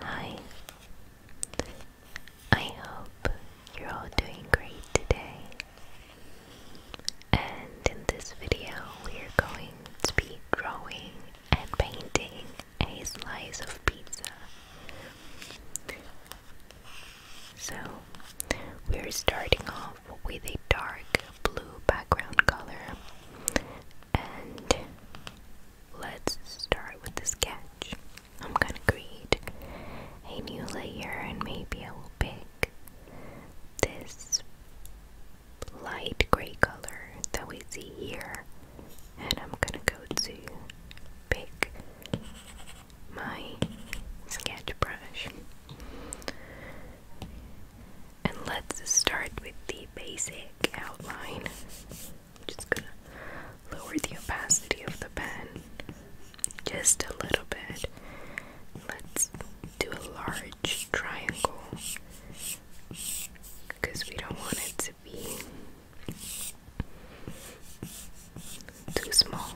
Hi, I hope you're all doing great today. And in this video, we're going to be drawing and painting a slice of pizza. So, we're starting off with a dark blue background color. And let's start with the sketch. I'm gonna create a new layer and maybe I will pick this light gray color that we see here. And I'm gonna go to pick my sketch brush. And let's start with the basic outline. just gonna lower the opacity of the pen just a little bit. Let's do a large triangle because we don't want it to be too small.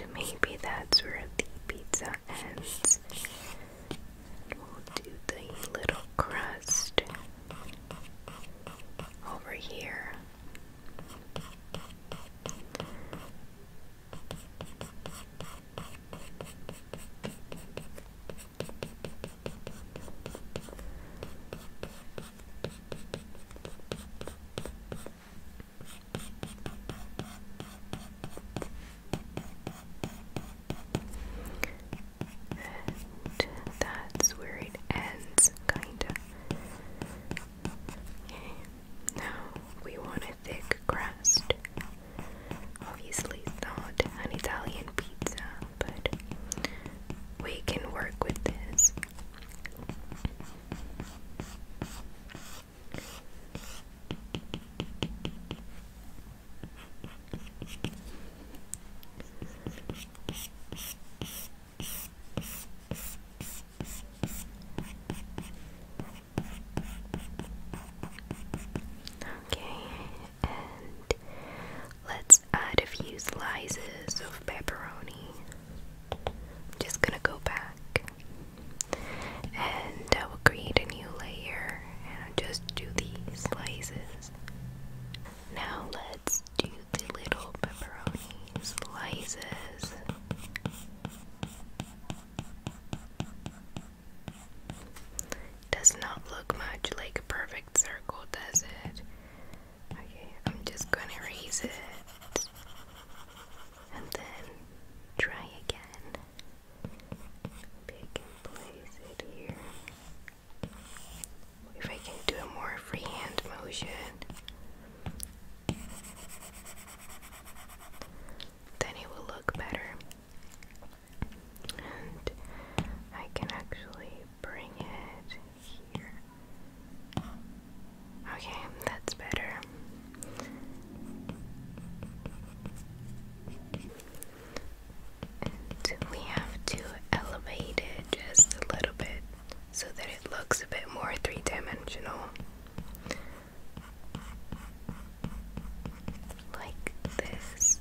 And maybe that's where the pizza ends. We'll do the little crust over here. And that's where it ends, kinda. now we want a thick crust. Obviously, not an Italian pizza, but we can work with this. Okay, and let's add a few slices of pepperoni. I'm just gonna go back and I will create a new layer and just do the slices. Now let's do the little pepperoni slices. Does not look much like a perfect circle, does it? Okay, I'm just gonna erase it and then try again. Pick and place it here. If I can do a more freehand motion, then it will look better and I can actually bring it here. Okay, that's better. we have to elevate it just a little bit so that it looks a bit more three dimensional like this.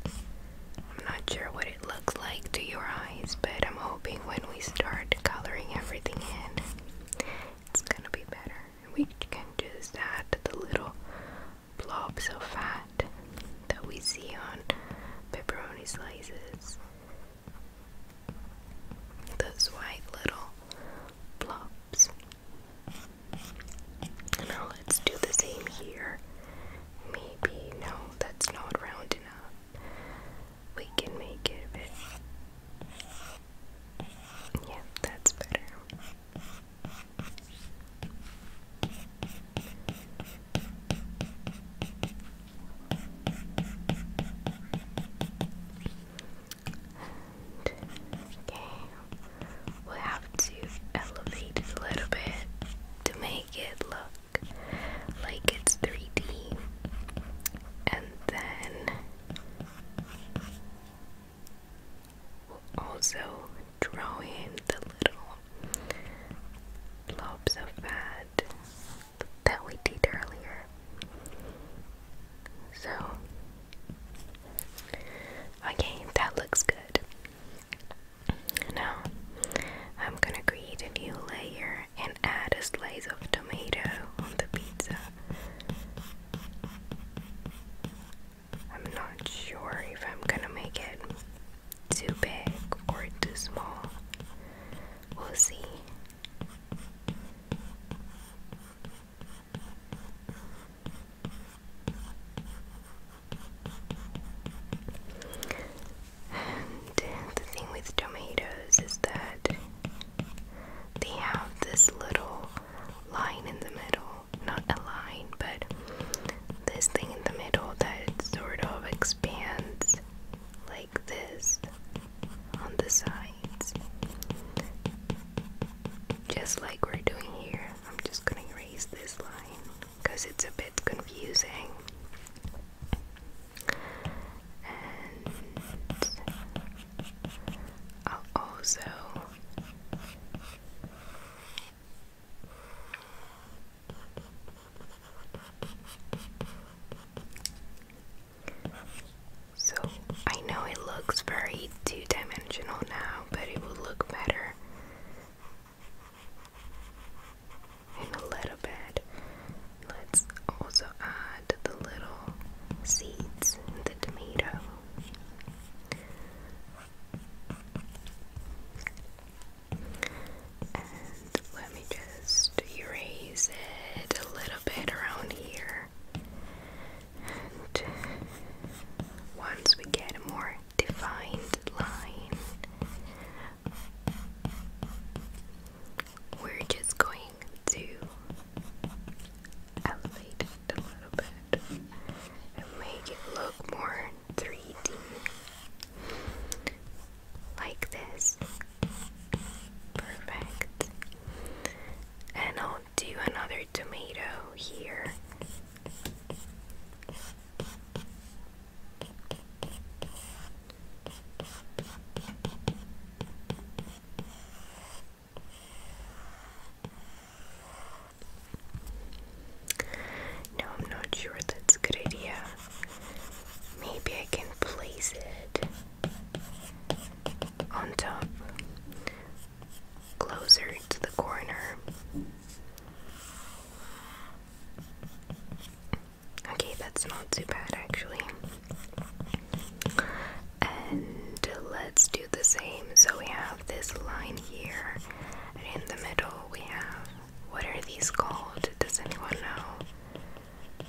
I'm not sure what it looks like to your eyes, but I'm hoping when we start coloring everything in, it's gonna be better. We can just add the little blobs of fat that we see on pepperoni slices. Those white little blobs. Now let's do the same here. Maybe, no, that's not round enough. We can make it a bit. Yeah, that's better. okay we'll have to elevate it a little bit to make it look like it's 3D. And then we'll also draw in the little blobs of fat that we did earlier. So, okay, that looks good. Now, I'm gonna create a new layer and add a slice of tomato on the pizza. I'm not sure if I'm gonna make it too big or too small. We'll see. And the thing with tomatoes is that they have this little line in the middle. Not a line, but this thing in the middle that sort of expands like this on the sides. Just like we're doing here. I'm just gonna erase this line because it's a bit confusing. And I'll also so I know it looks very two-dimensional now, but it will look better and a little bit. Let's also add the little seeds in the tomato. And let me just erase it a little bit around here. And once we get more defined line. We're just going to elevate it a little bit and make it look more 3D. Like this. Perfect. And I'll do another tomato here no, I'm not sure that's a good idea. Maybe I can place it on top closer to the corner. Okay, that's not too bad actually. And let's do the same. So we have this line here, and in the middle we have what are these called? Does anyone know?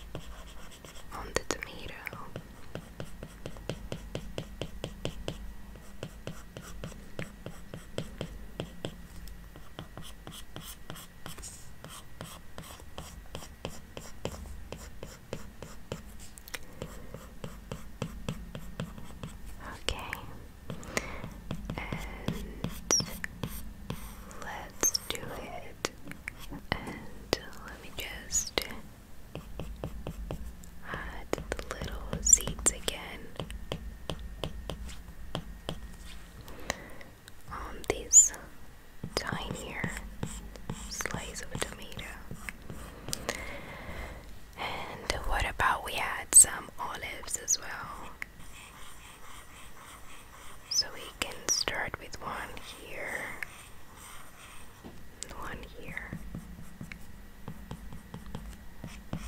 On the tomato. Okay, and let's do it. And let me just had the little seeds again. on these tinier slices of tomato. And what about we add some olives as well? So we can start with one here, one here, and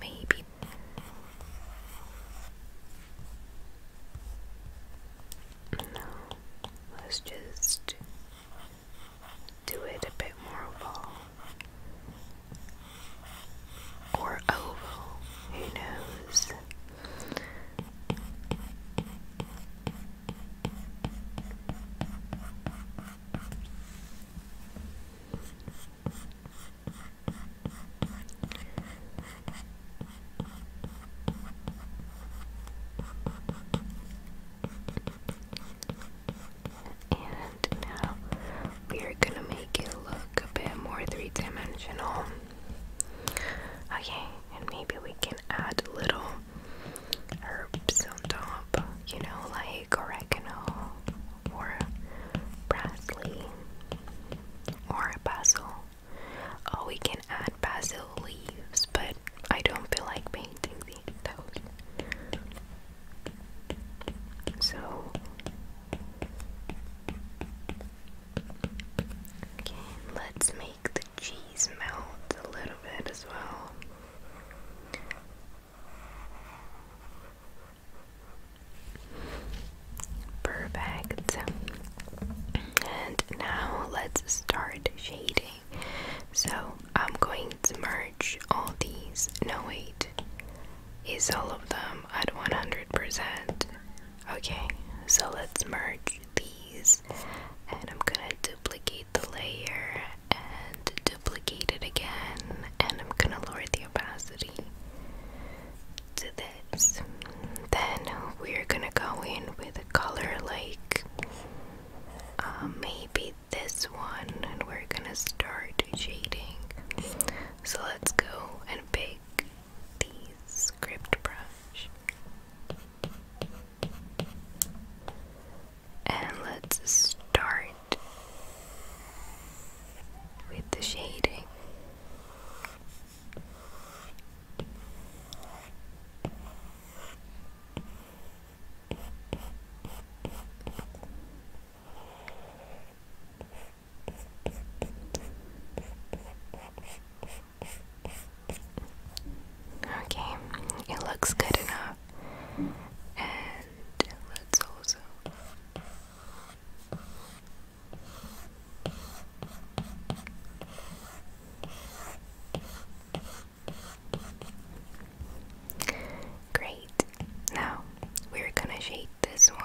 maybe no, let's just do it a bit more of all or oval, who knows? And now we're gonna make it look a bit more three-dimensional. Okay, and maybe we can add little herbs on top, you know, like oregano or parsley or basil. Oh, we can add basil leaves, but I don't feel like painting these. Those. So Okay, let's make the cheese melt a little bit as well. Perfect. And now let's start shading. So I'm going to merge all these. No, wait. Is all of them at 100%? Okay, so let's merge these and I'm gonna duplicate the layer and duplicate it again and I'm gonna lower the opacity to this. Then we're gonna go in with a color like um, maybe this one and we're gonna start shading. So let's go and pick the script brush. And let's start with the shading. Okay, it looks good enough. And let's also. Great. Now we're gonna shade this one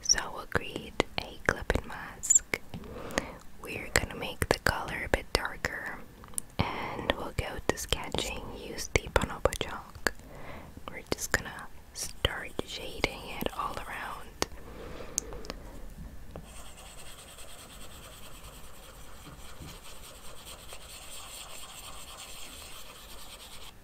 so we'll create a clip mask. We're gonna make the color a bit darker and we'll go to sketching, use the bonobo chalk. We're just gonna start shading it all around.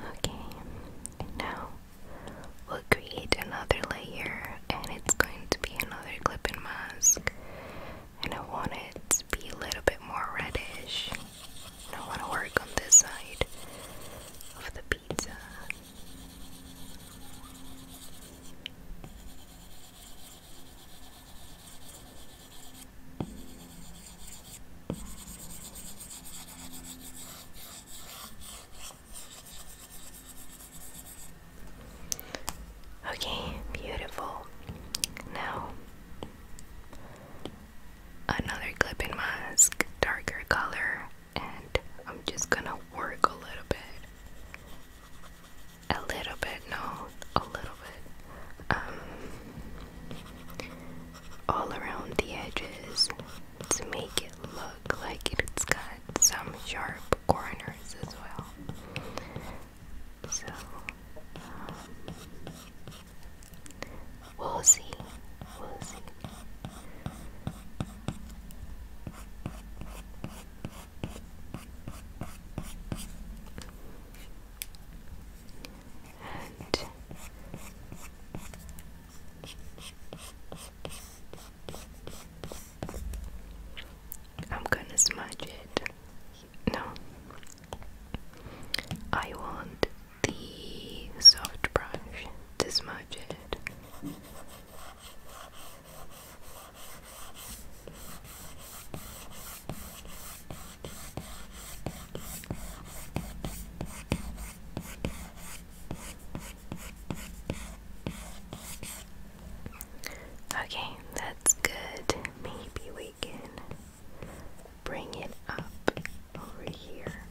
Okay, now we'll create another layer, and it's going to be another clipping mask. And I want it to be a little bit more reddish. I want to work on this side of the pizza. Okay, beautiful. Now another clipping mask, darker color, and I'm just gonna work a little bit. A little bit, no, a little bit. Um, all around the edges to make it look like it's got some sharp corners as well. So, um, We'll see. We'll see. And I'm gonna smudge it. No, I want the soft brush to smudge it. Okay, that's good. Maybe we can bring it up over here.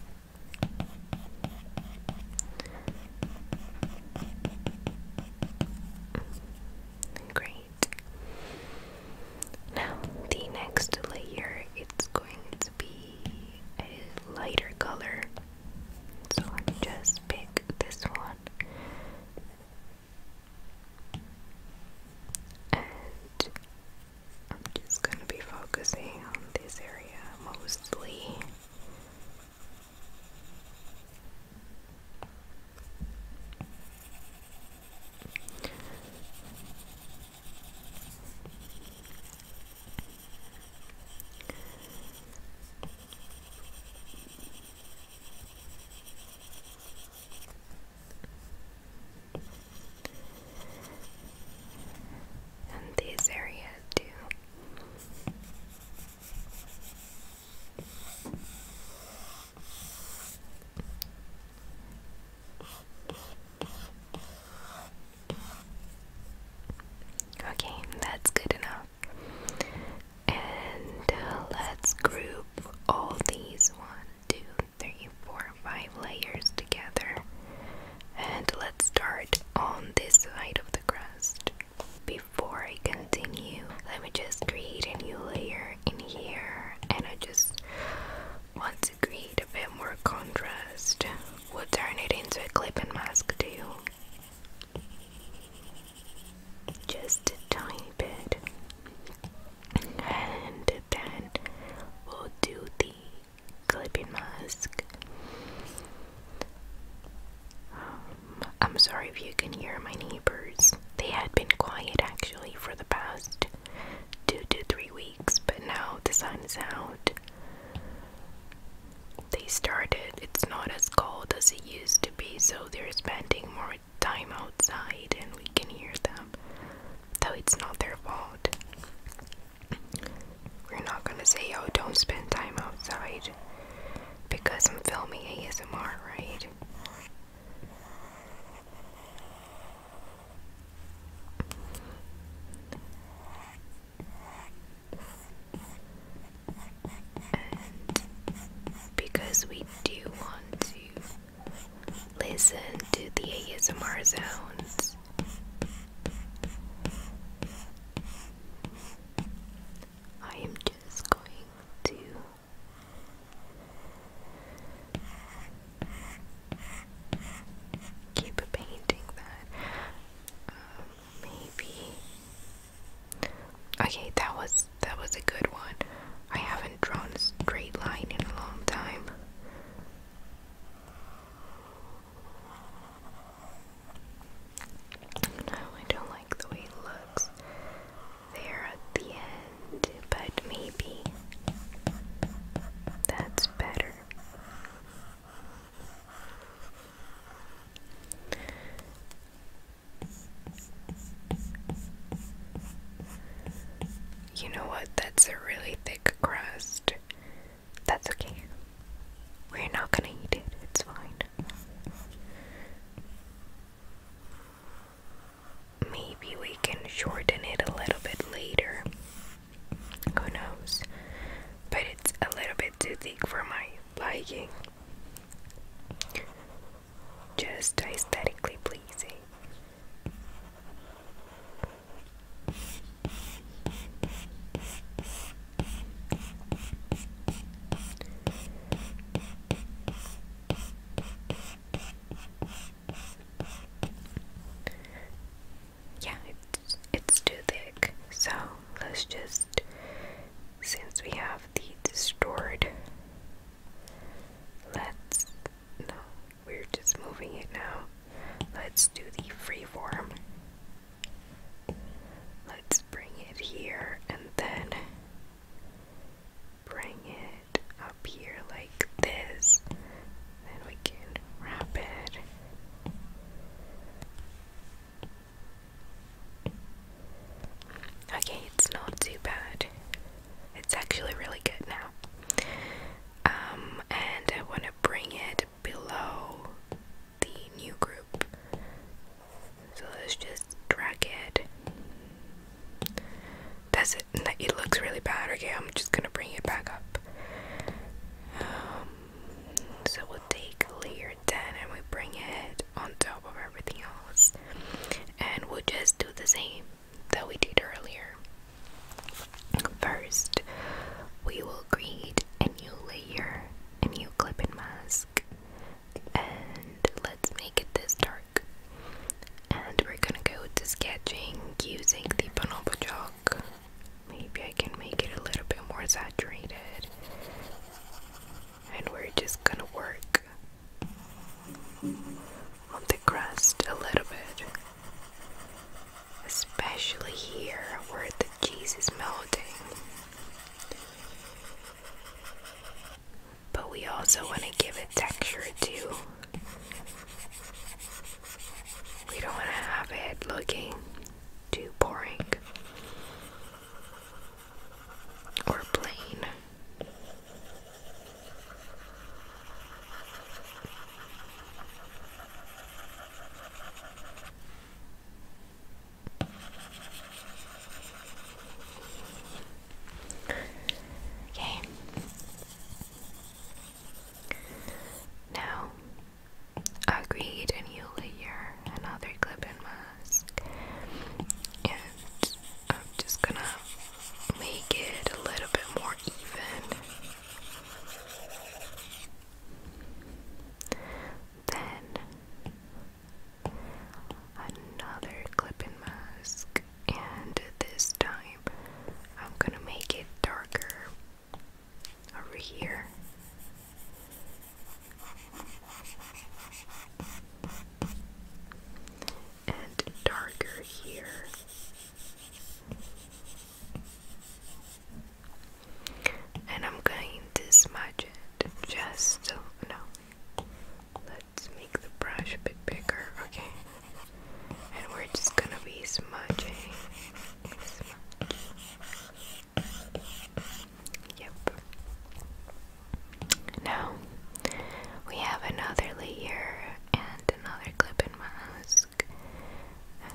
Great. Now, the next layer it's going to be a lighter color. So i just pick this one and I'm just going to be focusing on this area mostly. And these areas too. Okay, that's good enough. And uh, let's group all these one, two, three, four, five layers together. And let's start on this side of the crust. Before I continue, let me just create a new layer in here. And I just want to create a bit more contrast. We'll turn it into a clipping mask too. Just a tiny bit. And then we'll do the clipping mask. Um, I'm sorry if you can hear my neighbors. They had been quiet actually for the past two to three weeks, but now the sun is out. They started, it's not as cold as it used to be, so they're spending more time outside, and we can hear them though it's not their fault. We're not gonna say, "Oh, don't spend time outside because I'm filming ASMR, right? because we do want to Listen to the ASMR sounds. I am just going to keep painting that. Um, maybe. Okay, that was that was a good one. I haven't drawn a straight line in a long time. No, I don't like the way it looks there at the end, but maybe that's better. You know what? That's a really thick crust. That's okay. We're not gonna eat it, it's fine. Maybe we can shorten it a little bit later. Who knows? But it's a little bit too thick for my liking. Just aesthetically pleasing. Yeah, it's, it's too thick, so let's just, since we have the stored, let's, no, we're just moving it now. Let's do the freeform. Let's bring it here and then bring it up here like this. Then we can wrap it. Okay, it's not too bad. It's actually really good now um, and I want to bring it below the new group. So let's just drag it. That's it. It looks really bad. Okay, I'm just gonna bring it back up. Um, so we'll take layer 10 and we bring it on top of everything else, and we'll just do the same that we did earlier. First, we will create a new layer, a new clip and mask, and let's make it this dark. And we're gonna go to sketching using the bonobo chalk. Maybe I can make it a little bit more saturated. And we're just gonna work on the crest a little bit especially here where the cheese is melting. But we also want to give it texture too. We don't want to have it looking too boring or plain. Okay. Now, agreed, and you'll hear another clip and mask, and I'm just gonna make it a little bit more even. Then another clipping mask, and this time I'm gonna make it darker over here. And darker here, and I'm going to smudge it just so no. Let's make the brush a bit bigger, okay? And we're just gonna be smudging. Yep. Now we have another layer and another clip and mask. Um,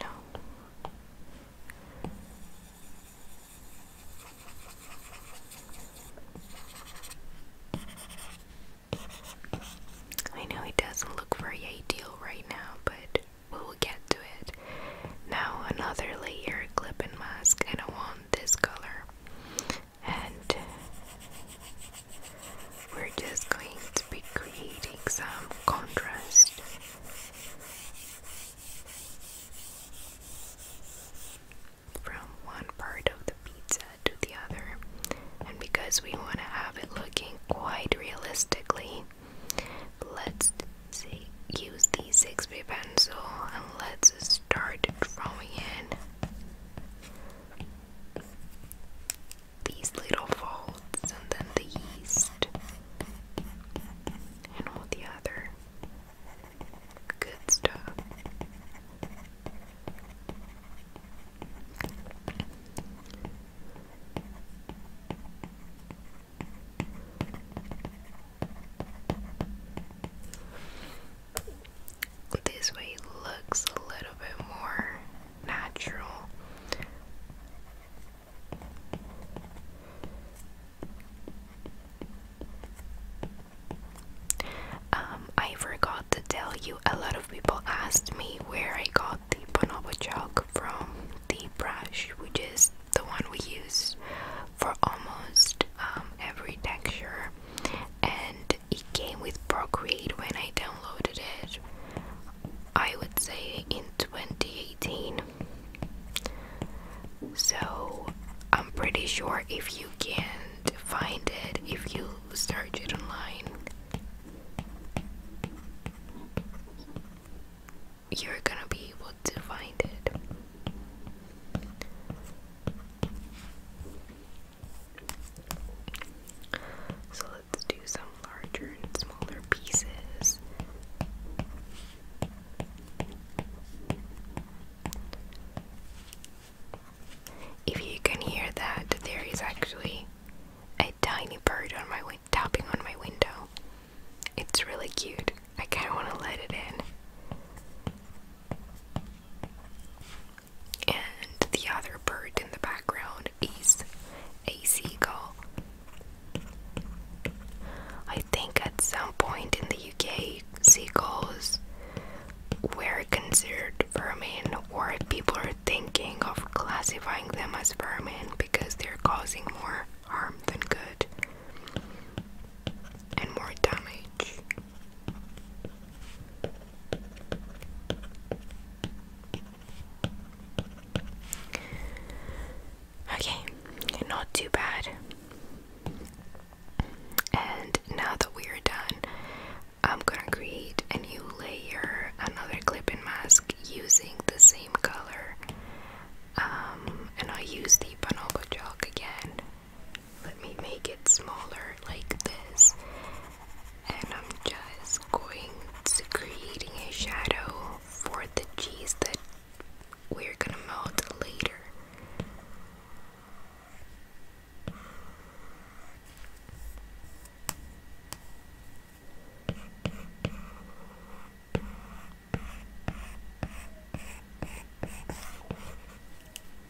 no. I know it doesn't look very ideal right now, but we will get to it. Now another layer clip and mask and I want this color and uh, we're just going to be creating some contrast. From one part of the pizza to the other, and because we want to have it looking quite realistically, let's use the 6 b pencil and let's start drawing in these little folds and then the yeast and all the other good stuff. This way looks a little bit more natural. Um, I forgot to tell you, a lot of people asked me where I got the bonobo from the brush, which is the one we use for almost um, every texture. And it came with Procreate when I downloaded it. I would say in 2018. So I'm pretty sure if you can find it, if you search it online, you're gonna be able to find it. So let's do some larger and smaller pieces. If you can hear that, there is actually a tiny bird on my tapping on my window. It's really cute. I kind of want to let it in and the other bird in the background is a seagull. I think at some point in the UK, seagulls were considered vermin, or people are thinking of classifying them as vermin because they're causing more harm than good and more damage. Okay, not too bad. And now that we are done, I'm gonna create a new layer, another clipping mask using the same color. Um, and I use the Bonobo chalk again let me make it smaller like this. And I'm just going to creating a shadow for the cheese that we're gonna melt later.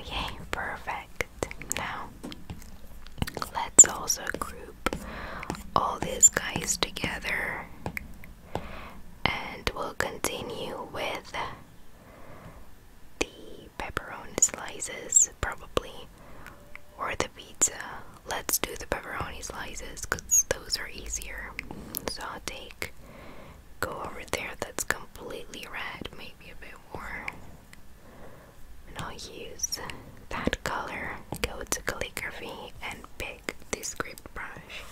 Okay, oh, perfect. Now let's also group all these guys together and we'll continue with the pepperoni slices, probably, or the pizza. Let's do the pepperoni slices because those are easier. So I'll take go over there that's completely red, maybe a bit more. And I'll use that color, go to calligraphy, and pick the script brush.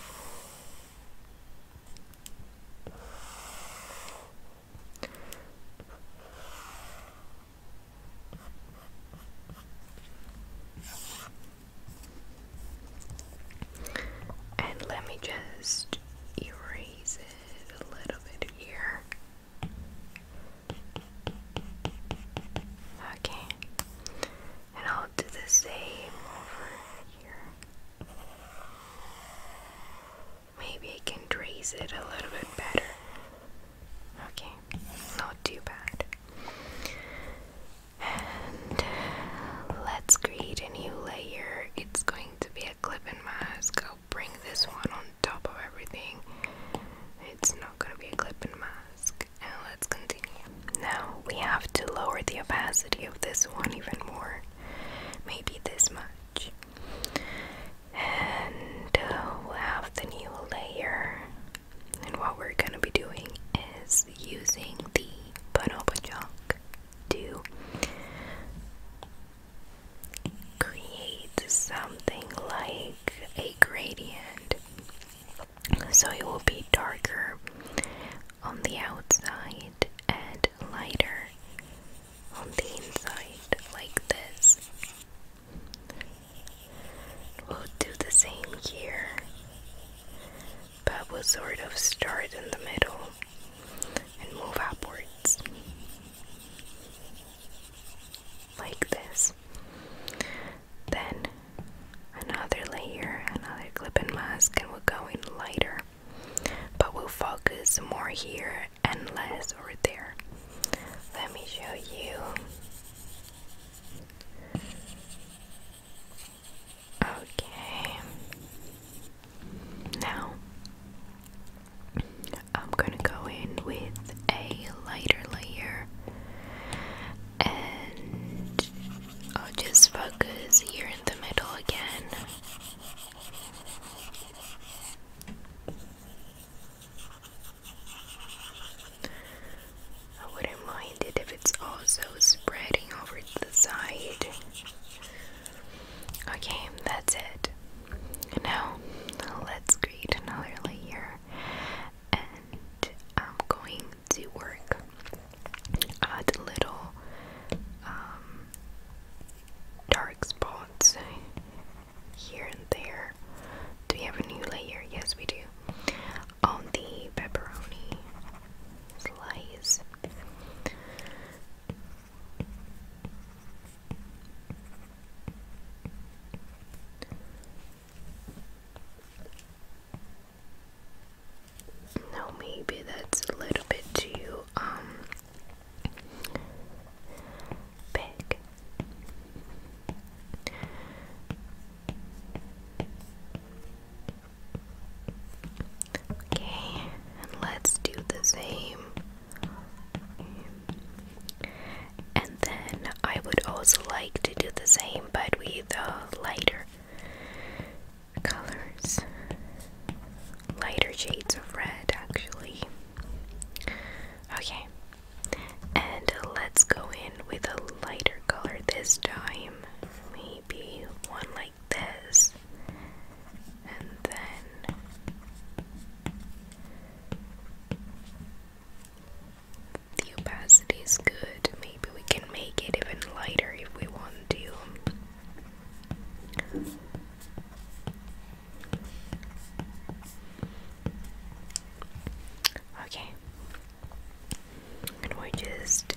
And let me just erase it a little bit here. Okay, and I'll do the same over here. Maybe I can raise it a little bit better. Okay, not too bad. Uh, let's create a new layer. It's going to be a clip and mask. I'll bring this one on top of everything. It's not going to be a clip and mask. And let's continue. Now we have to lower the opacity of this one even more. Maybe this much and uh, we'll have the new layer and what we're gonna be doing is using the bonobo chalk to create something like a gradient so it will be darker on the outside and lighter on the inside, like this. We'll do the same here, but we'll sort of start in the middle and move upwards, like this. Then another layer, another clipping mask, and we are going lighter but we'll focus more here and less over there. Let me show you. Okay. Now I'm gonna go in with a lighter layer and I'll just focus here in the middle again I wouldn't mind it if it's also spreading over the side. Okay, that's it. Now, let's create another layer and I'm going to work at little um, dark spots spots here and there. Do we have a new layer? Yes, we do. On the pepperoni slice. No, maybe that's a little bit too um, Big. Okay, let's do the same. And then I would also like to do the same but with the uh, lighter colors lighter shades of red actually. Okay, and let's go in with a lighter color this time. Maybe one like this, and then the opacity is good. Maybe we can make it even lighter if we want to. Okay, and we're just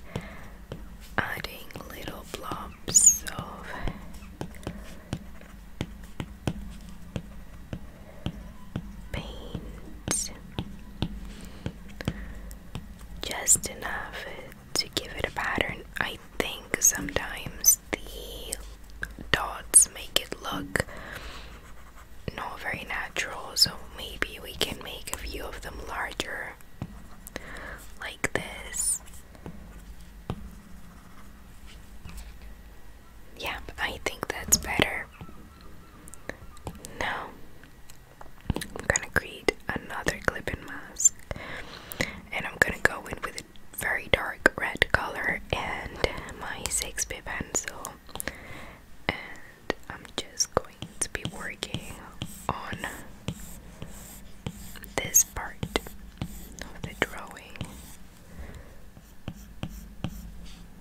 adding little blobs of paint, just enough to give it a pattern. I think sometimes the dots make it look not very natural so maybe we can make a few of them larger like this yeah I think that's better now I'm gonna create another clipping mask and I'm gonna go in with very dark red color and my 6B pencil and I'm just going to be working on this part of the drawing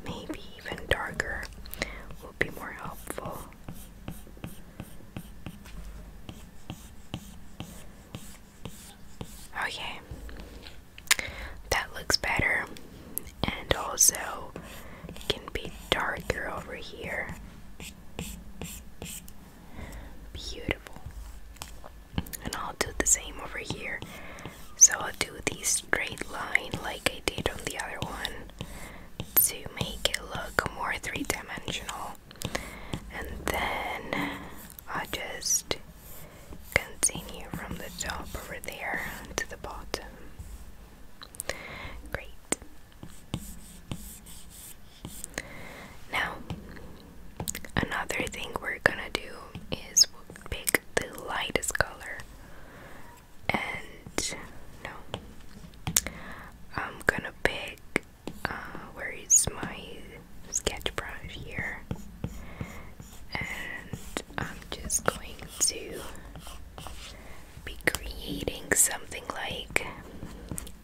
maybe even darker will be more helpful Okay. That looks better. And also can be darker over here. Beautiful. And I'll do the same over here. So I'll do the straight line like I did on the other one to make it look more three dimensional. And then i just continue from the top over there to the bottom. Great. Now, another thing we're gonna do is pick the lightest color. And no, I'm gonna pick uh, where is my sketch brush here and I'm just going to be creating something like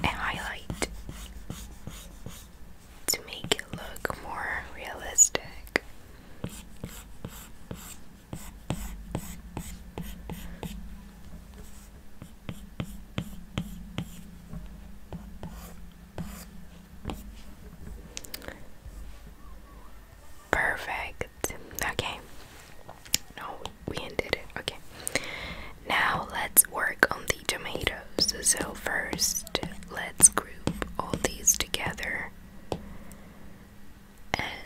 a highlight to make it look more realistic. Perfect. Okay. No, we ended it. Okay. Now let's work on the tomatoes. So, first, let's group all these together and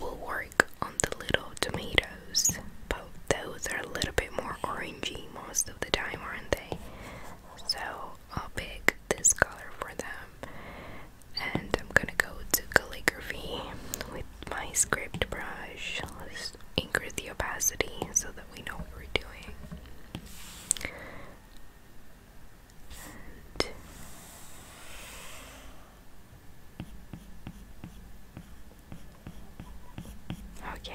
we'll work on the little tomatoes those, but those are a little bit more orangey most of the time, aren't they? So I'll pick this color for them, and I'm gonna go to calligraphy with my script brush. Let's increase the opacity so that we know what we're doing. Okay.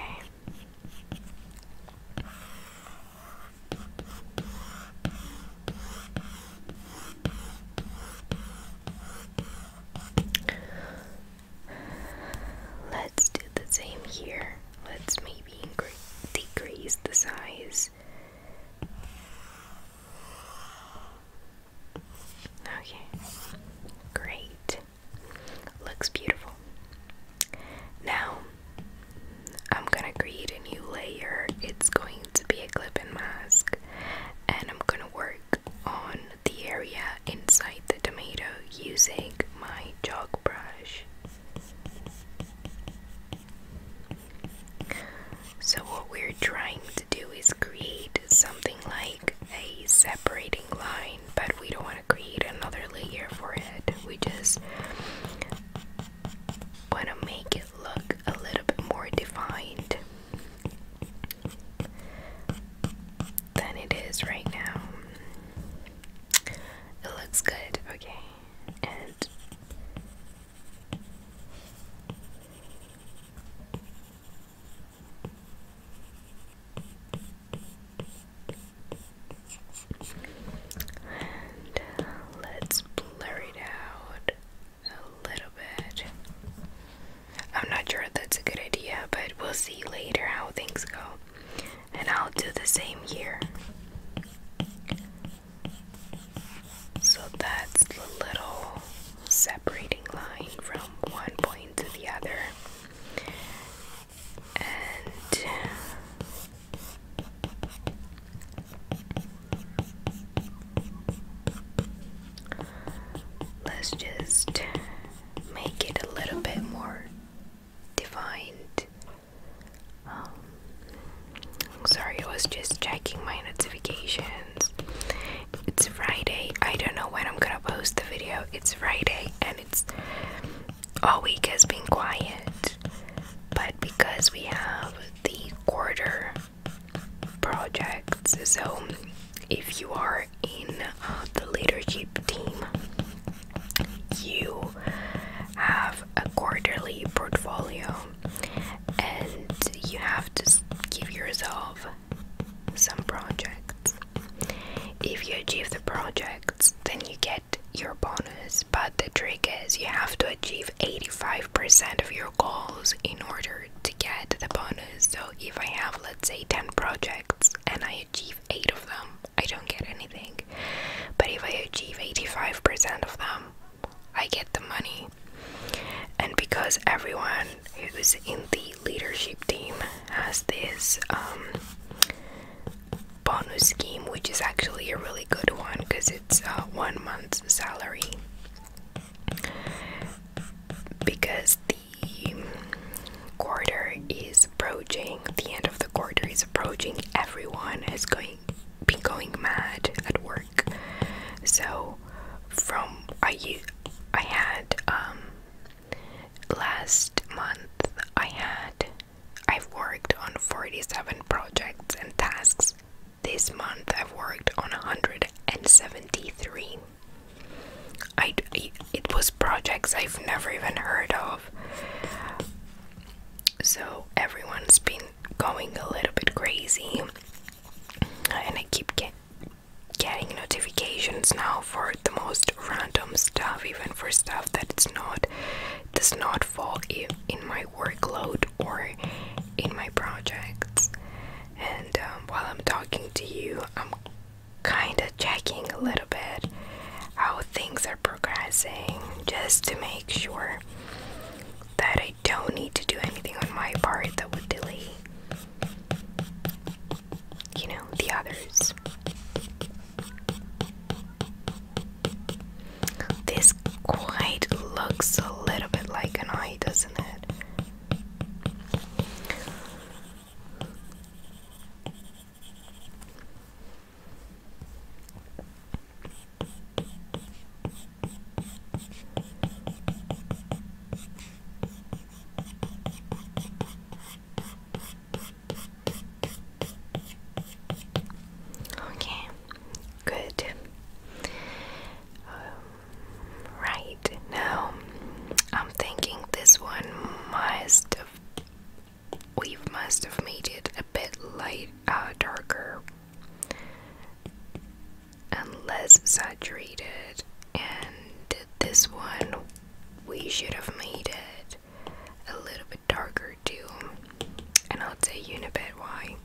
Let's do the same here. Let's maybe decrease the size. Okay, great. Looks beautiful. Now, I'm gonna create a new layer. It's going to be a clip and mask, and I'm gonna work on the area inside the tomato using my jog brush. So, what we're trying to do is create something like a separating line, but we don't want to create another layer for it. We just want to make it look a little bit more defined than it is right now. It looks good, okay let's blur it out a little bit. I'm not sure if that's a good idea, but we'll see later how things go. And I'll do the same here. So that's the little separating line from one point to the other and let's just make it a little bit more defined. Um, sorry, I was just checking my notifications. It's Friday. I don't know when I'm gonna post the video. It's Friday, and all week has been quiet. But because we have the quarter projects, so if you are in uh, the leadership team, you have a quarterly portfolio and you have to give yourself some projects if you achieve the projects, then you get your bonus, but the trick is you have to achieve 85% of your goals in order to get the bonus. So if I have, let's say, 10 projects and I achieve 8 of them, I don't get anything. But if I achieve 85% of them, I get the money. And because everyone who's in the leadership team has this um, bonus scheme, which is actually a really good one because it's one month's salary. Because the quarter is approaching, the end of the quarter is approaching, everyone is going been going mad at work. So, from I I had um, last month I had I've worked on 47 projects and tasks. This month I've worked on 173. I it was projects I've never even heard of. So everyone's been going a little bit crazy and I keep get, getting notifications now for the most random stuff, even for stuff that it's not does not fall in my workload or in my projects. And um, while I'm talking to you, I'm kind of checking a little bit how things are progressing just to make sure that I don't need to do anything on my part that would delay you know, the others. This quite looks a little bit like an eye, doesn't it? Okay, good. Um, right now, I'm thinking this one must have. must have made it a bit light, uh, darker, and less saturated, and this one we should have made it a little bit darker too. And I'll tell you a bit why.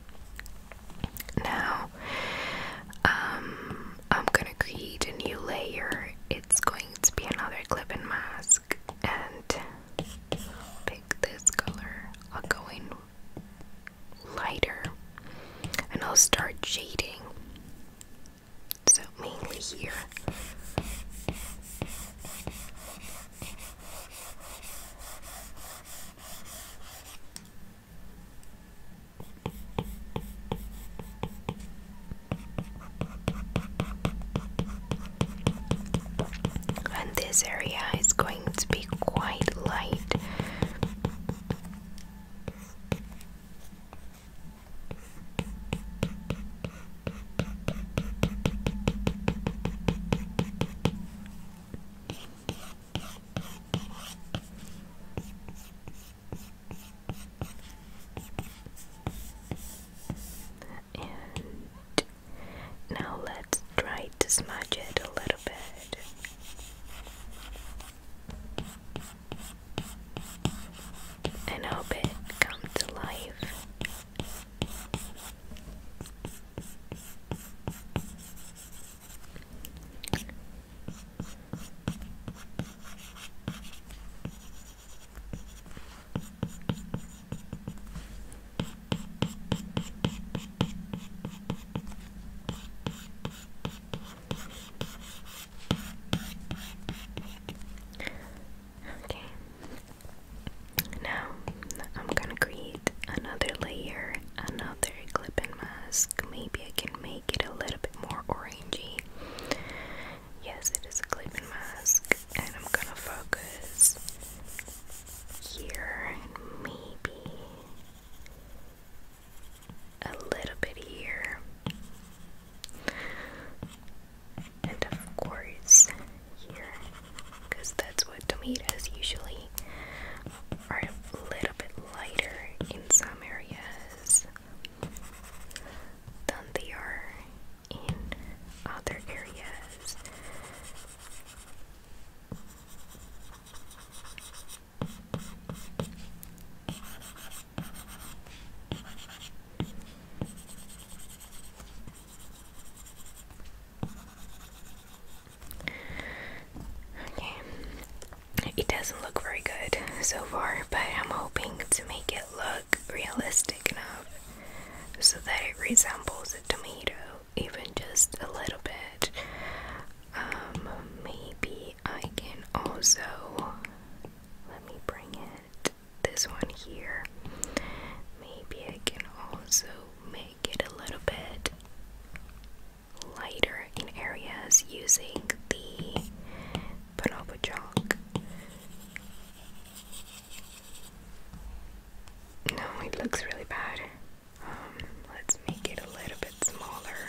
Now, um, I'm gonna create a new layer. It's going to be another clip and mask, and pick this color. I'll go in lighter, and I'll start shading. So mainly here. And this area is going to be quite light. And now let's try to smudge it a little bit and hope it comes to life. Okay. Now I'm gonna create another layer, another clipping mask. Maybe I can make it a little bit more orangey. Yes, it is a clipping mask, and I'm gonna focus here and maybe a little bit here. And of course, here, because that's what tomatoes usually are a little bit lighter in some areas than they are in other areas. Okay, it doesn't look very good so far, but I'm hoping to make it look realistic enough so that it resembles a tomato, even just a little bit. Um, maybe I can also let me bring in this one here. Maybe I can also make it a little bit lighter in areas using the bonobo No, it looks really bad. Um, let's make it a little bit smaller.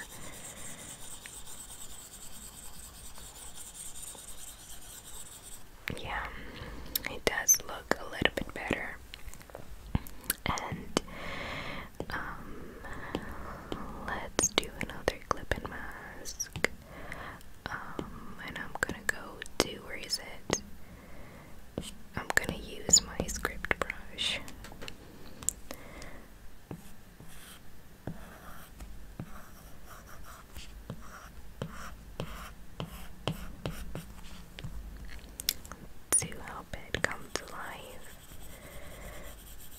Yeah, it does look a little bit better. And um, let's do another clip mask. Um, and I'm gonna go to where is it? I'm gonna use my script brush to help it come to life.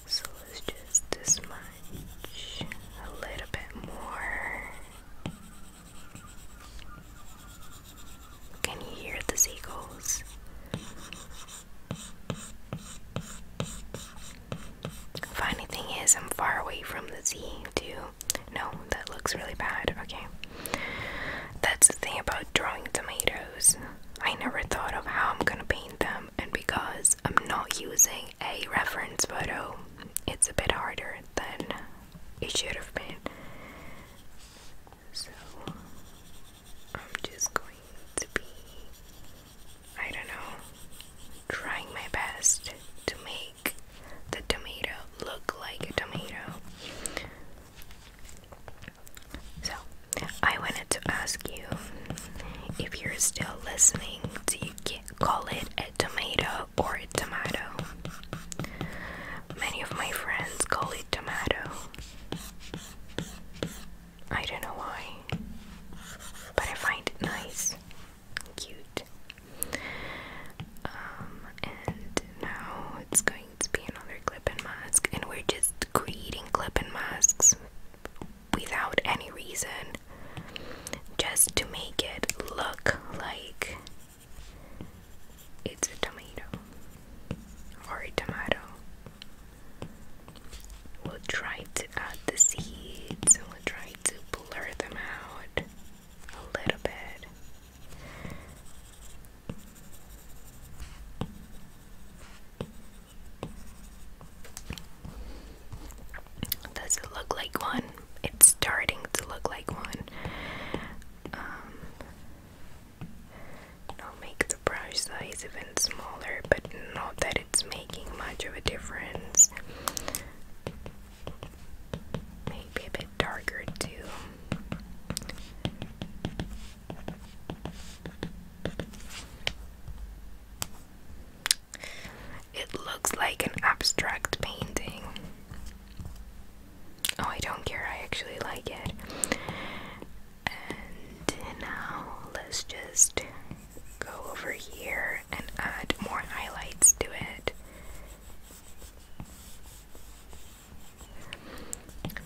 So it's just this a little bit more. Can you hear the seagulls? Funny thing is, I'm far away from the sea, too. No, that looks really bad. Okay. That's the thing about drawing tomatoes. I never thought of how I'm gonna paint them, and because I'm not using a reference photo, it's a bit harder than it should have been. So, I'm just going to be I don't know, trying my best to make the tomato look like a tomato. So, I wanted to ask you if you're still listening, do you call it a tomato or a tomato? Many of my friends call it tomato. I don't know why, but I find it nice cute. Um, and now it's going to be another clip and mask, and we're just creating clip and masks without any reason, just to make it look like it's a tomato or a tomato. We'll try to add the seeds we'll try to blur them out a little bit. Does it look like one? It's starting to look like one. I'll um, make the brush size even smaller, but not that it's making much of a difference. Maybe a bit darker too. It looks like an abstract painting. Oh, I don't care, I actually like it. And now let's just go over here and add more highlights to it.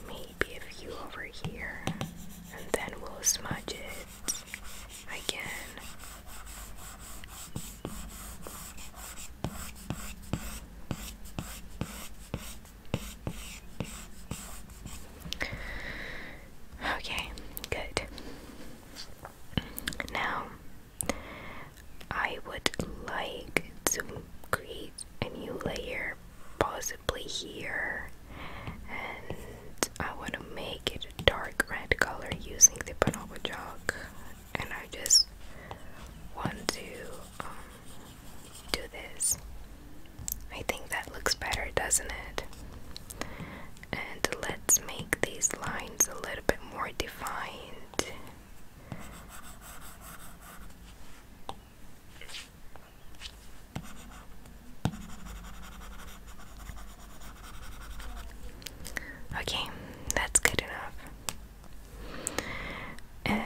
Maybe a few over here, and then we'll smudge it again. Okay, good. Now, I would like to create a new layer, possibly here, and I want to make it a dark red color using the Panova chalk. And I just want to um, do this. I think that looks better, doesn't it? and let's make these lines a little bit more defined Okay, that's good enough. And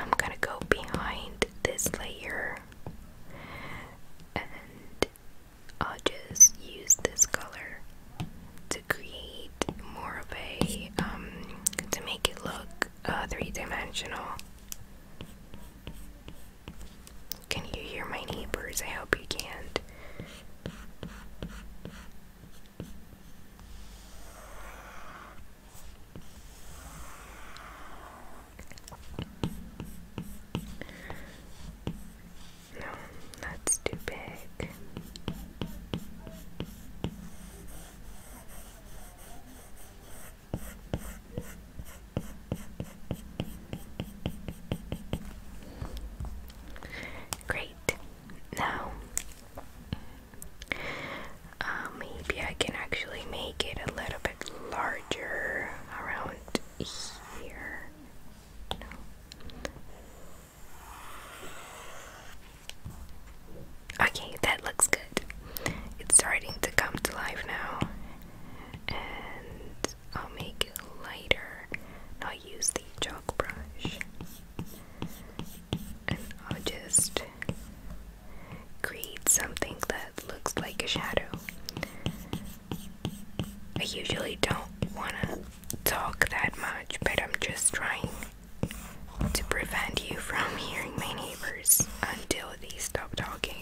I'm gonna go behind this layer and I'll just use this color to create more of a, um, to make it look uh, three-dimensional. Can you hear my neighbors? I hope you can't. No, that's too big. Great. Now, uh, maybe I can actually make it a little bit larger around here. Okay, that looks good. It's starting to come to life now. And I'll make it lighter. I'll use the chalk brush. And I'll just create something that looks like a shadow. I usually don't want to talk that much, but I'm just trying to prevent you from hearing my neighbors until they stop talking.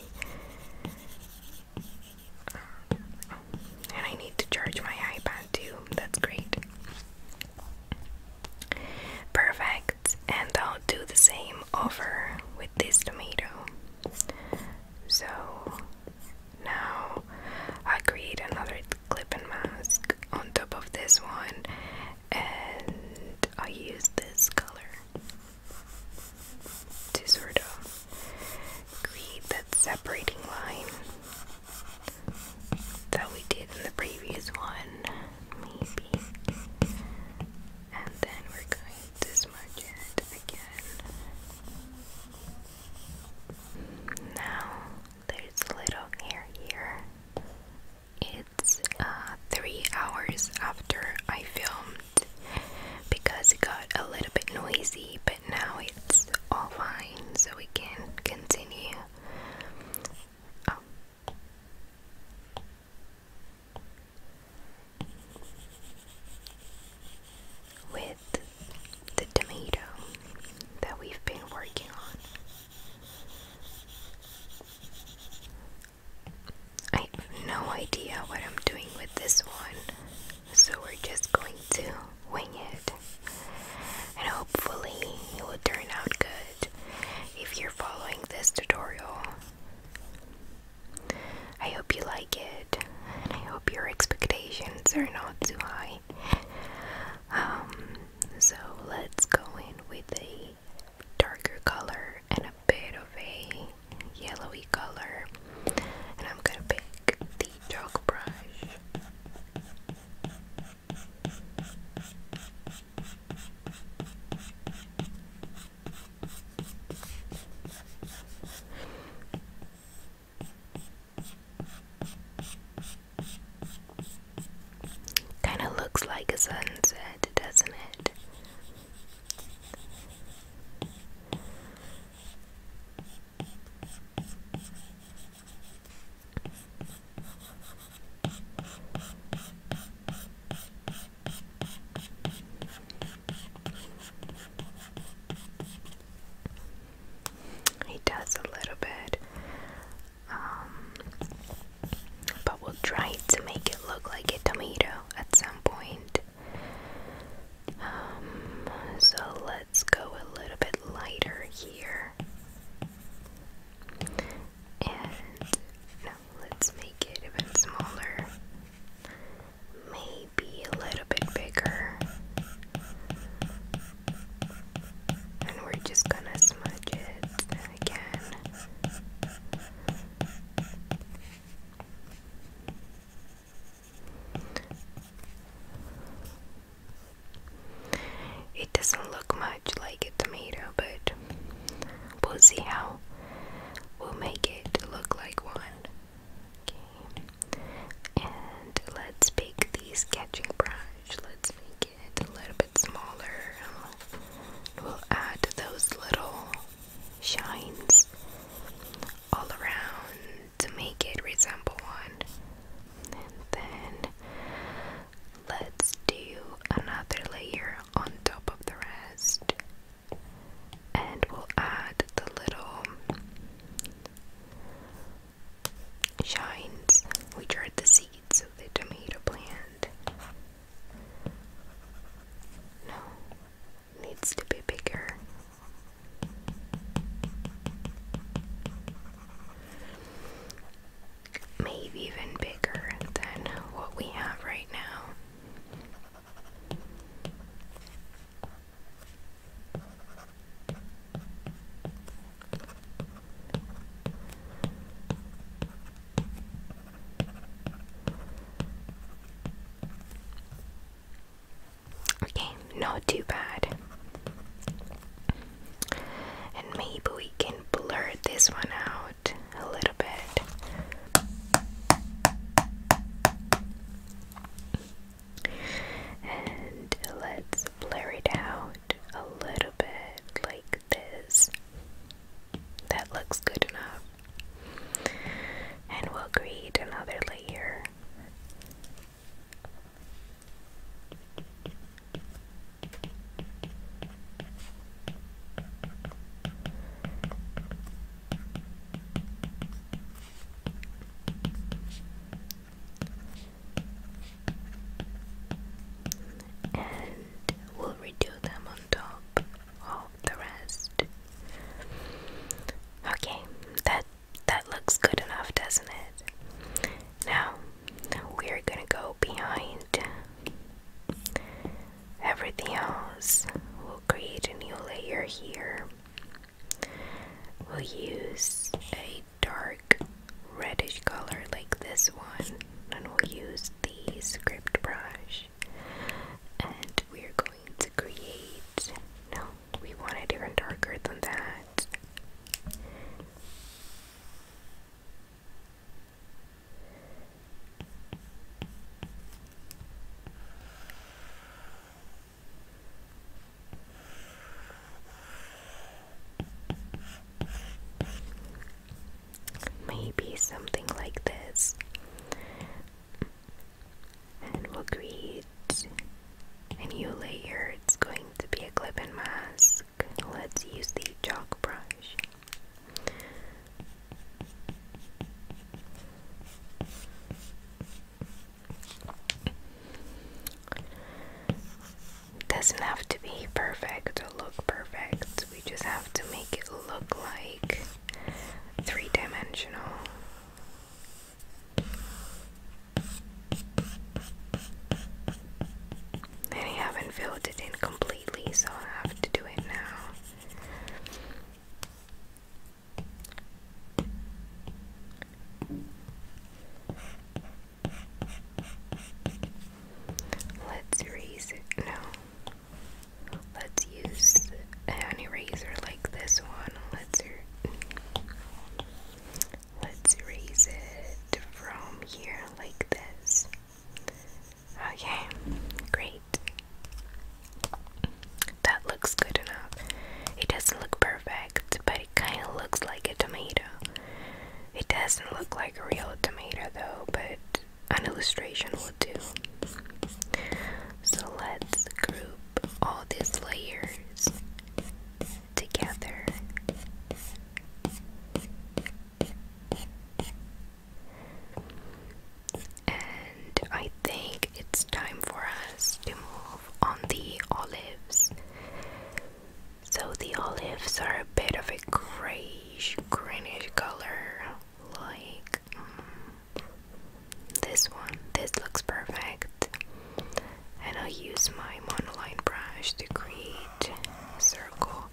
and I need to charge my iPad too, that's great. Perfect, and I'll do the same over with this tomato. So now I create another clipping mask on top of this one and I use this color to sort of create that separating line that we did in the previous one maybe and then we're going to smudge it again now there's little hair here. It's uh, three hours after I filmed because it got a little bit noisy, but now it's all fine, so we can continue. Oh with the tomato that we've been working on. I have no idea what I'm doing with this one, so we're just going to wing it. And hopefully, it will turn out good. If you're following this tutorial, I hope you like it, and I hope your expectations are not too high. Um, so let's go in with a darker color and a bit of a yellowy color, and I'm gonna pick the dark brush. Kind of looks like a sunset, doesn't it? He does a little bit. Um, but we'll try to make it look like a tomato at some point. Um, so let's go a little bit lighter here. And let's make it a bit smaller be a little bit bigger. And we're just gonna smudge it again. It doesn't look much like a tomato, but we'll see how we'll make it look like one. Okay. And let's pick the sketching brush. Let's make it a little bit smaller. We'll add those little shines all around to make it resemble one. then let's do another layer on top of the rest and we'll add the little shines, which are the seeds of the tomato plant. No, needs to be bigger. Maybe even bigger than what we have right now. Okay, not too bad. And maybe we can blur this one out a little bit. And let's blur it out a little bit like this. That looks good enough. And we'll create another layer and we'll redo them on top of the rest. Okay, that that looks good enough, doesn't it? Now we're gonna go behind everything else. We'll create a new layer here. We'll use a dark reddish color like this one, and we'll use the script brush. And we're going to create. No, we want it even darker than that. Maybe something like this. And we'll create a new layer. It's going to be a clip and mask. Let's use the chalk brush. Doesn't have to be perfect or look perfect. We just have to make it look like three dimensional. And I haven't filled it in completely, so i have to do it now. Let's erase it. No. Let's use an eraser like this one. Let's er-, let's erase it from here like this. Okay, great. That looks good enough. It doesn't look perfect, but it kind of looks like a tomato. It doesn't look like a real tomato though, but an illustration will do. So let's group all these layers together. I think it's time for us to move on the olives. So the olives are a bit of a grayish, greenish color, like mm, this one. This looks perfect, and I'll use my monoline brush to create a circle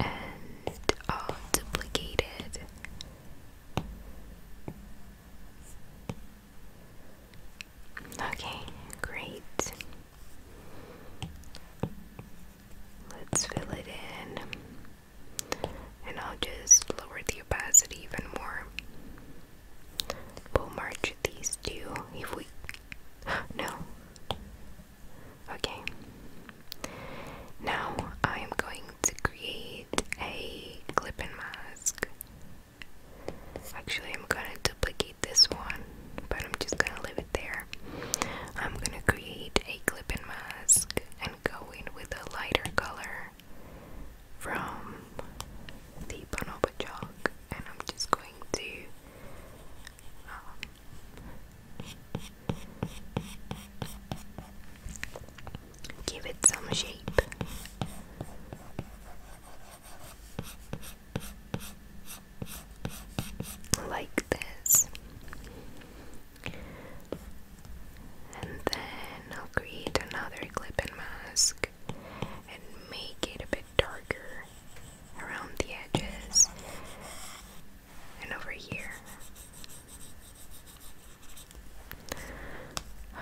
and all duplicated. Okay, great. Let's fill it in. And I'll just lower the opacity even more. We'll merge these two if we. no. Okay. Now I am going to create a clip and mask. Actually, I'm gonna duplicate this one, but I'm just gonna leave it there. I'm gonna create a clip and mask and go in with a lighter color from the Bonobo chalk, and I'm just going to um, Give it some shape. Like this. And then I'll create another clip and mask and make it a bit darker around the edges and over here.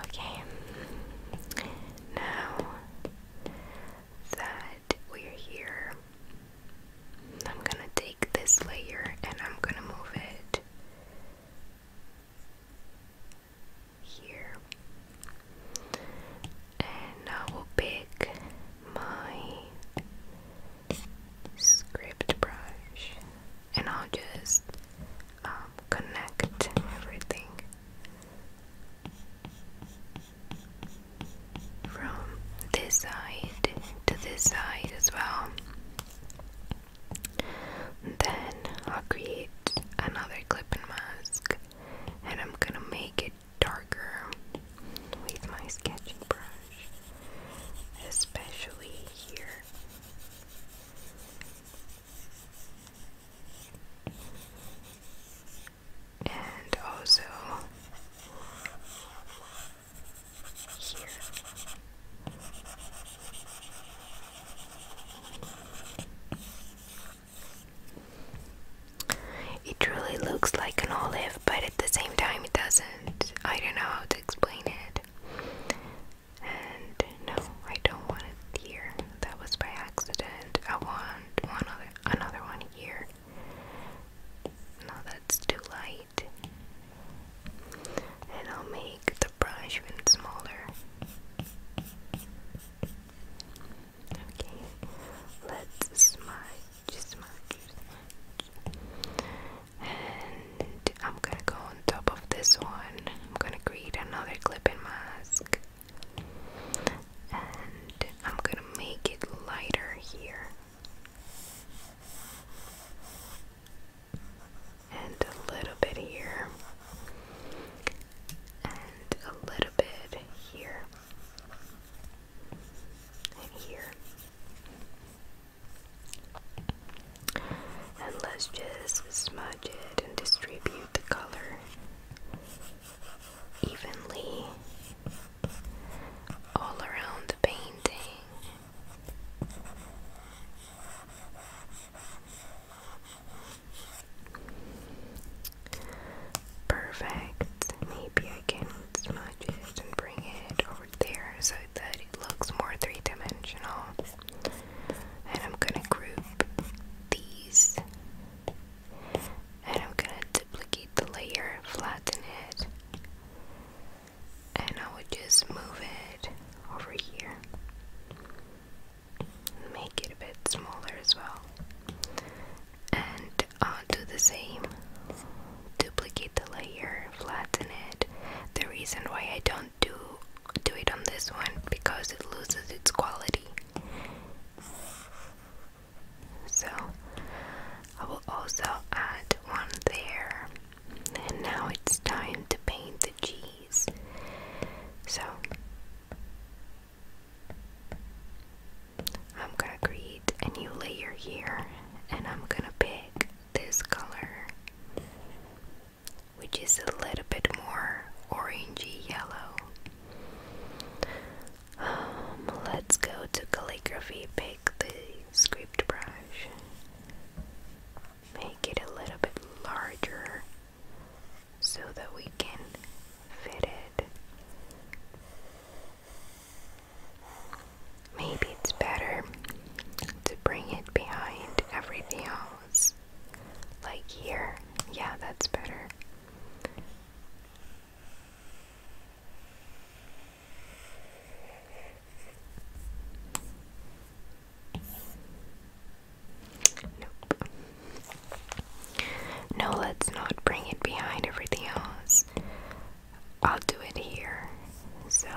Okay, now that we're here, I'm gonna take this layer and I'm gonna move it here. And I will pick my script brush and I'll just um, connect everything from this side to this side as well. Then I'll create another clip and mask and I'm gonna make it darker with my sketching brush especially here. And also here. It really looks like an olive, but at the same time, it doesn't. I don't know how to explain it. And no, I don't want it here. That was by accident. I want one other, another one here. No, that's too light. And I'll make the brush even smaller. Okay, let's smudge, and I'm gonna go on top of this one I'm gonna create another clipping mask and I'm gonna make it lighter here and a little bit here and a little bit here here and let's just smudge it and distribute the color evenly all around the painting. Perfect. Maybe I can smudge it and bring it there so that it looks more three-dimensional. And I'm gonna group these. And I'm gonna duplicate the layer, flatten it, and I would just move it over here. Make it a bit smaller as well. And I'll do the same duplicate the layer, flatten it. The reason why I don't do do it on this one because it loses its quality. So I will also add one there. And now it's time to paint the cheese. So I'm gonna create a new layer here and I'm gonna pick this color, which is a little bit more orangey yellow. Um, let's go to calligraphy, pick the script brush, make it a little bit larger so that we can fit it. Maybe it's better to bring it behind everything else. Like here. Yeah, that's better. Nope. No, let's not bring it behind everything else. I'll do it here. So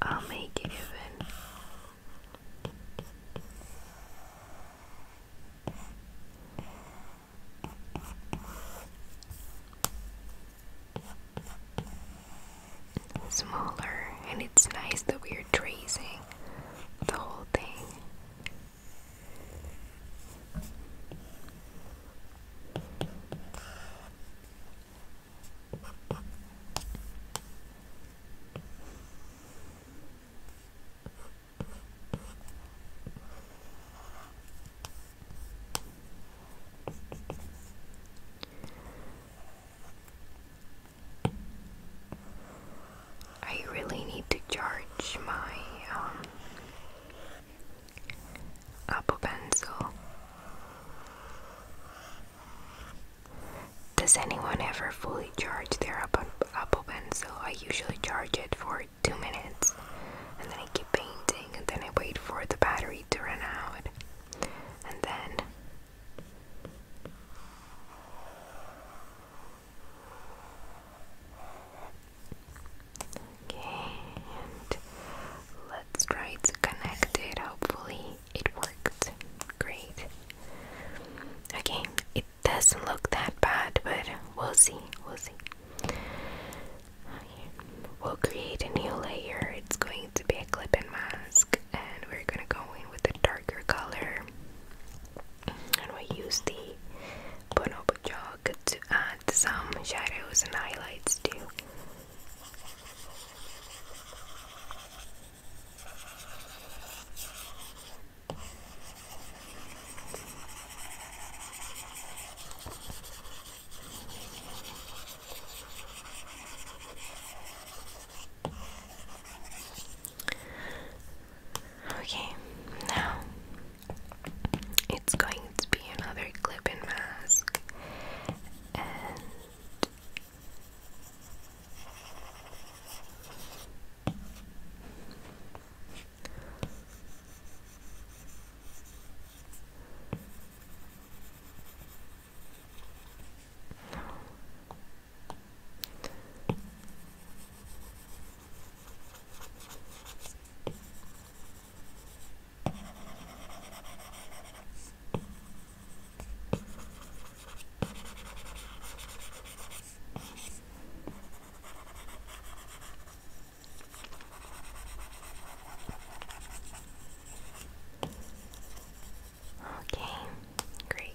I'll make it even. Smaller, and it's nice that we're tracing the whole thing I really need to charge my um, Apple pencil. Does anyone ever fully charge their Apple, Apple pencil? I usually charge it for two minutes and then I keep painting and then I wait for the battery to run out and then Okay, let's try to connect it. Hopefully, it worked. Great. Okay, it doesn't look that bad, but we'll see. We'll see. We'll create a new layer. It's going to be a clip and mask, and we're gonna go in with a darker color and we use the bonobo to add some shadows and highlights too. Okay, now it's going to be another clip in mask, Okay, great.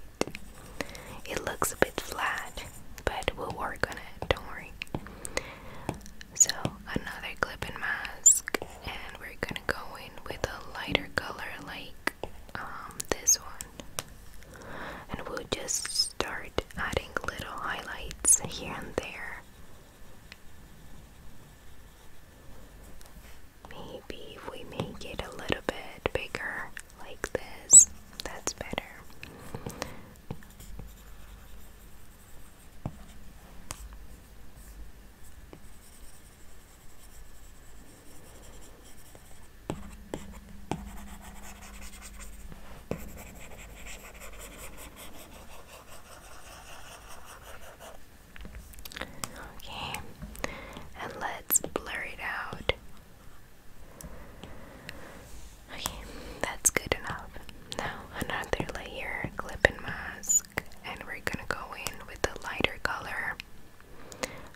It looks a bit flat, but we'll work on it, don't worry. So, another clip and mask, and we're gonna go in with a lighter color like um, this one, and we'll just start adding little highlights here and there. Maybe we make it a little bit bigger, like this, that's better. Okay, and let's blur it out that's good enough. Now, another layer clip and mask, and we're gonna go in with a lighter color.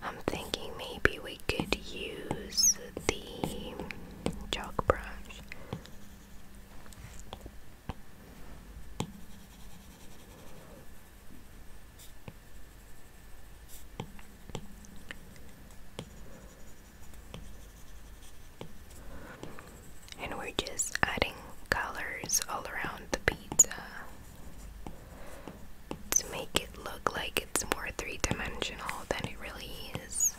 I'm thinking maybe we could use the chalk brush. And we're just adding colors all around the pizza to make it look like it's more three dimensional than it really is.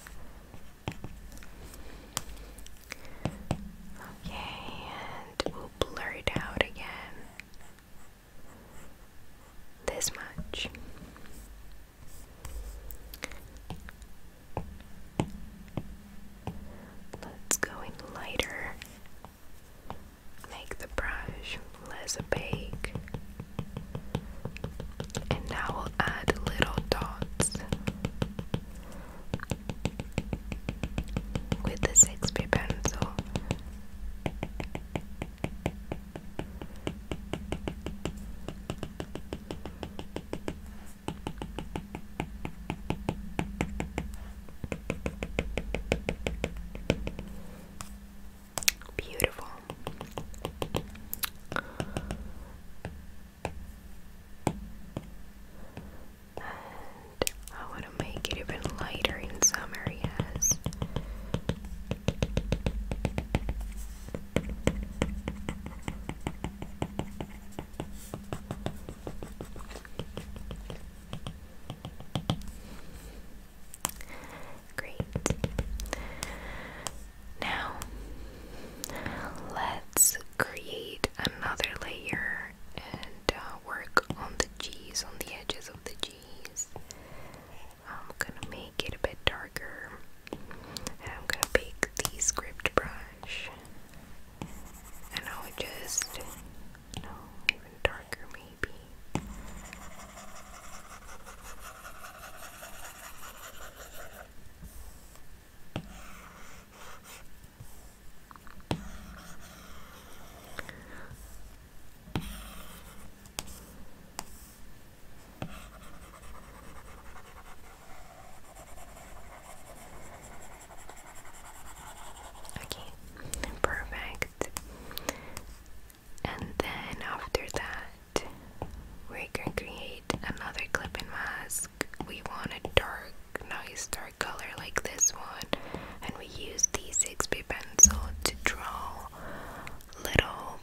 Okay, and we'll blur it out again. This much. Let's go in lighter. Make the brush less opaque. And now we'll add little dots with the 6B pencil. Beautiful. I want to make it even lighter in some areas. Great. Now, let's create another layer and uh, work on the G's, on the edges of the G's. I'm gonna make it a bit darker and I'm gonna pick the script brush and I'll just no even darker maybe Okay, perfect. And then after that, we can create another clipping mask. We want a dark, nice dark color like this one, and we use the 6B pencil to draw little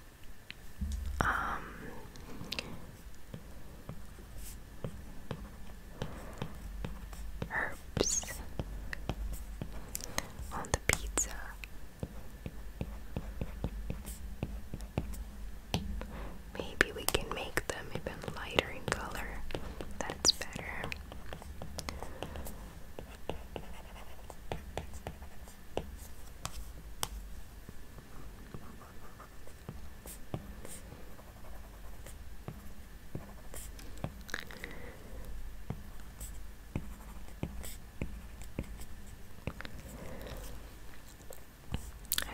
um, herbs on the pizza. Maybe we can make them even lighter in color. That's better.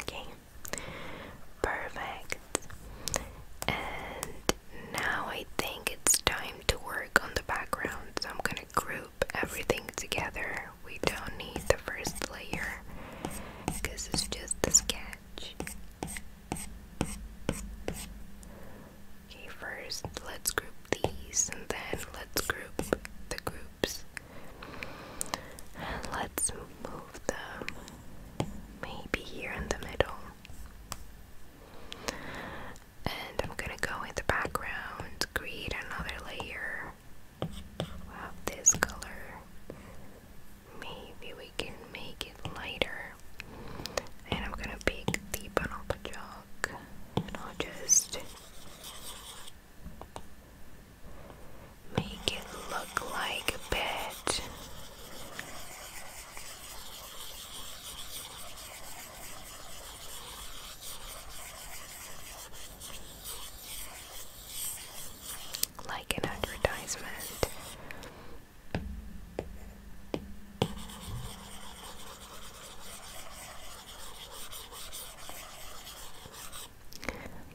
Okay, perfect. And now I think it's time to work on the background. So I'm gonna group everything together. We don't need the first layer because it's just a sketch. Okay, first let's group these and then let's group the groups. and Let's move them maybe here in the middle. And I'm gonna go in the background, create another layer, color. this color. Maybe we can make it lighter. And I'm gonna pick the Panoppa jug. And I'll just make it look like a bed like an advertisement.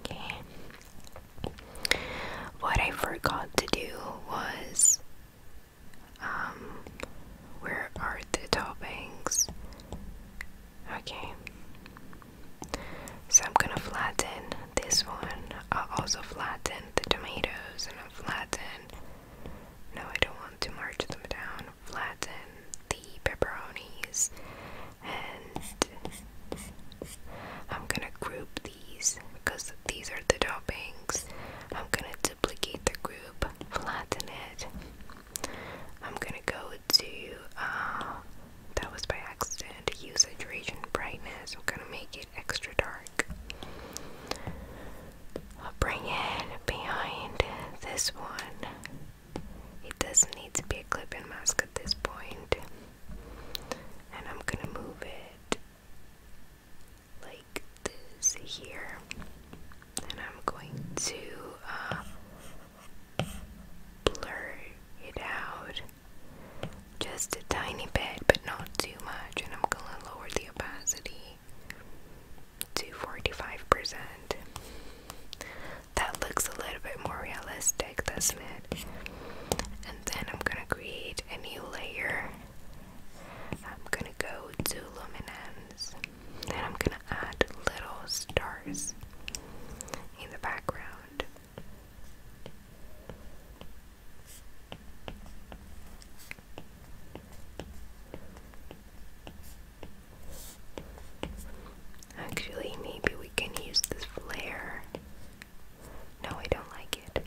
Okay. What I forgot to do was um where are the toppings? Okay. So I'm gonna flatten this one. I'll also flatten the tomatoes and I'll flatten. No, I don't want to march them down. Flatten the pepperonis and I'm gonna group these because these are the toppings. I'm gonna duplicate the group, flatten it, I'm gonna go to, uh, that was by accident, use region brightness. I'm gonna make it extra dark. I'll bring it behind this one. It doesn't need to be a clip and mask at this point. And I'm gonna move it like this here. And I'm going to uh, blur it out just a tiny bit, but not too much. And I'm gonna lower the opacity to 45%. That looks a little bit more realistic, doesn't it? And then I'm gonna create a new layer. I'm gonna go to luminance and I'm gonna add little stars in the background. Actually, maybe we can use this flare. No, I don't like it.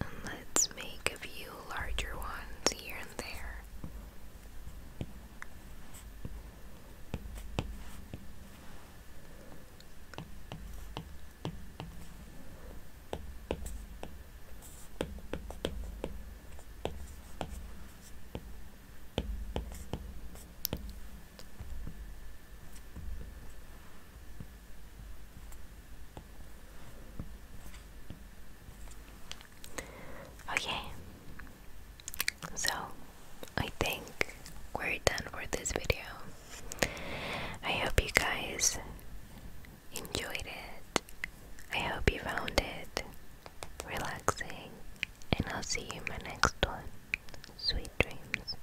And let's make a few larger ones here and there. Okay, so I think we're done for this video. I hope you guys enjoyed it. I hope you found it relaxing, and I'll see you in my next one. Sweet dreams.